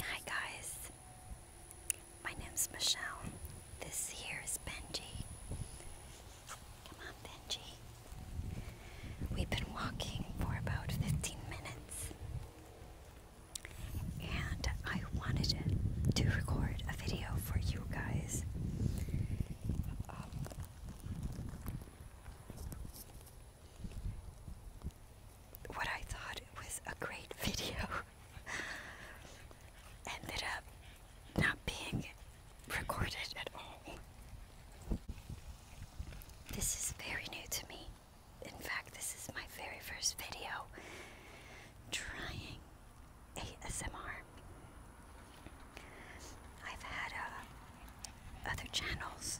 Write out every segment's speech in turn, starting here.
Hi guys, my name's Michelle. This here is Benji. Come on, Benji. We've been walking for about 15 minutes, and I wanted to record a video for you guys. Um, what I thought was a great video ended up not being recorded at all. This is very new to me. In fact, this is my very first video trying ASMR. I've had uh, other channels.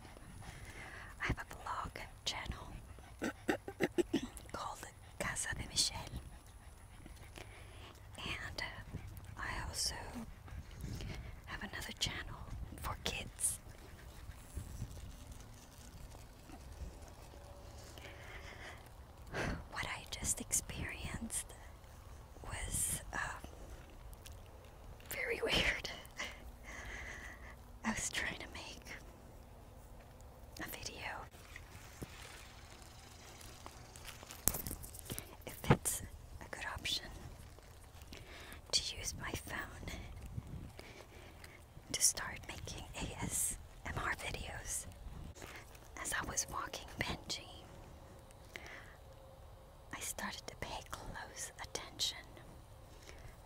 I have a blog channel called Casa de Michelle, and uh, I also have another channel for kids. What I just experienced was um, very weird. I was trying to make a video. If it's a good option to use my phone to start making ASMR videos. As I was walking Benji, I started to pay close attention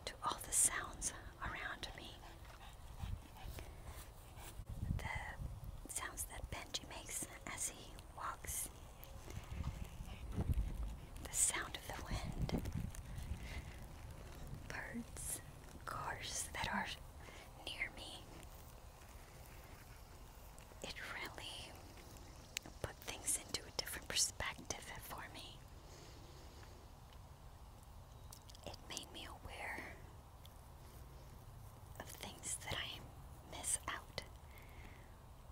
to all the sounds around me. The sounds that Benji makes as he walks, the sound of the wind, birds, cars that are near me, it really put things into a different perspective for me. It made me aware of things that I miss out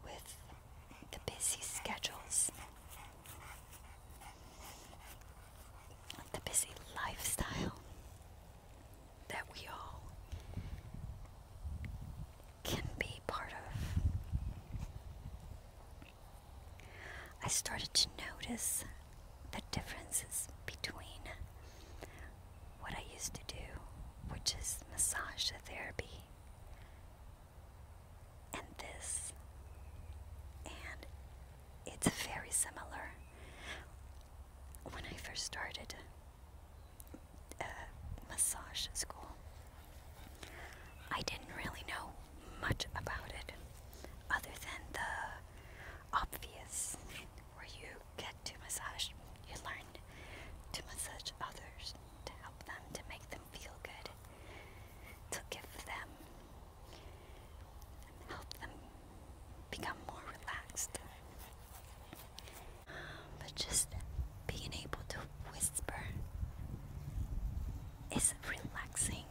with the busy schedules, the busy lifestyle that we all can be part of. I started to notice the differences between what I used to do, which is massage therapy, and this. And it's very similar. When I first started, uh, massage school. I didn't really know much about it other than the obvious where you get to massage, you learn to massage others, to help them, to make them feel good, to give them, help them become more relaxed. But just being able to whisper is relaxing.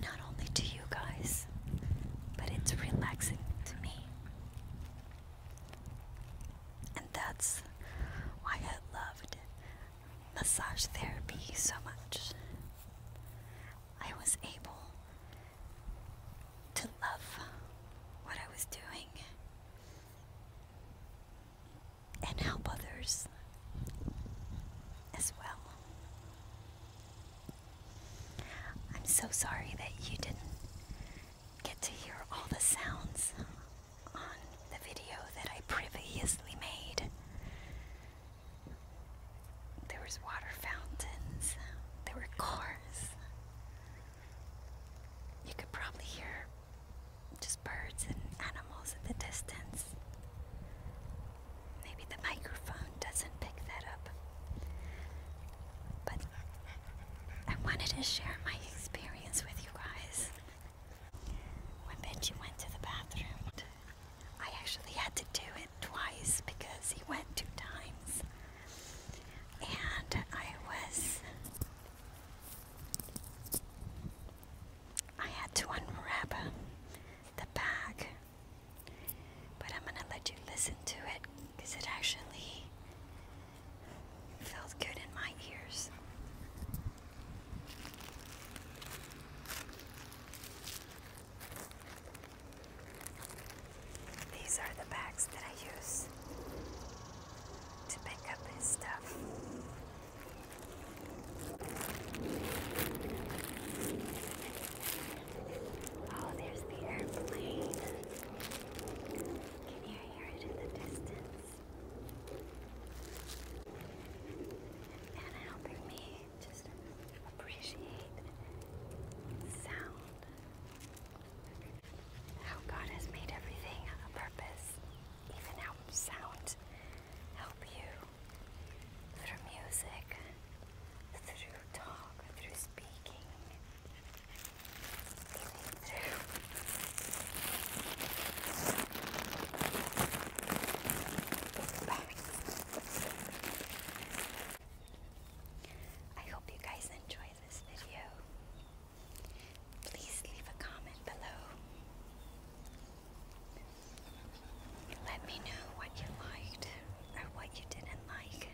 Not only to you guys, but it's relaxing to me. And that's why I loved massage therapy so much. I was able to love what I was doing and help others as well. I'm so sorry that you didn't get to hear all the sounds on the video that I previously made. There was water fountains. There were cars. You could probably hear just birds and animals in the distance. Maybe the microphone doesn't pick that up. But I wanted to share my experience with you guys. When Benji went to the bathroom, I actually had to do it twice because he went two times. And I was. I had to unwrap the bag. But I'm gonna let you listen to it because it actually felt good in my ears. These are the bags that I use to pick up his stuff. Oh, there's the airplane. Can you hear it in the distance? and helping me just appreciate sound. How God has made everything a purpose, even how sound help you through music, through talk, through speaking, through I hope you guys enjoy this video. Please leave a comment below. Let me know what you liked or what you didn't like.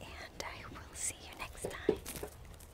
And I will see you next time.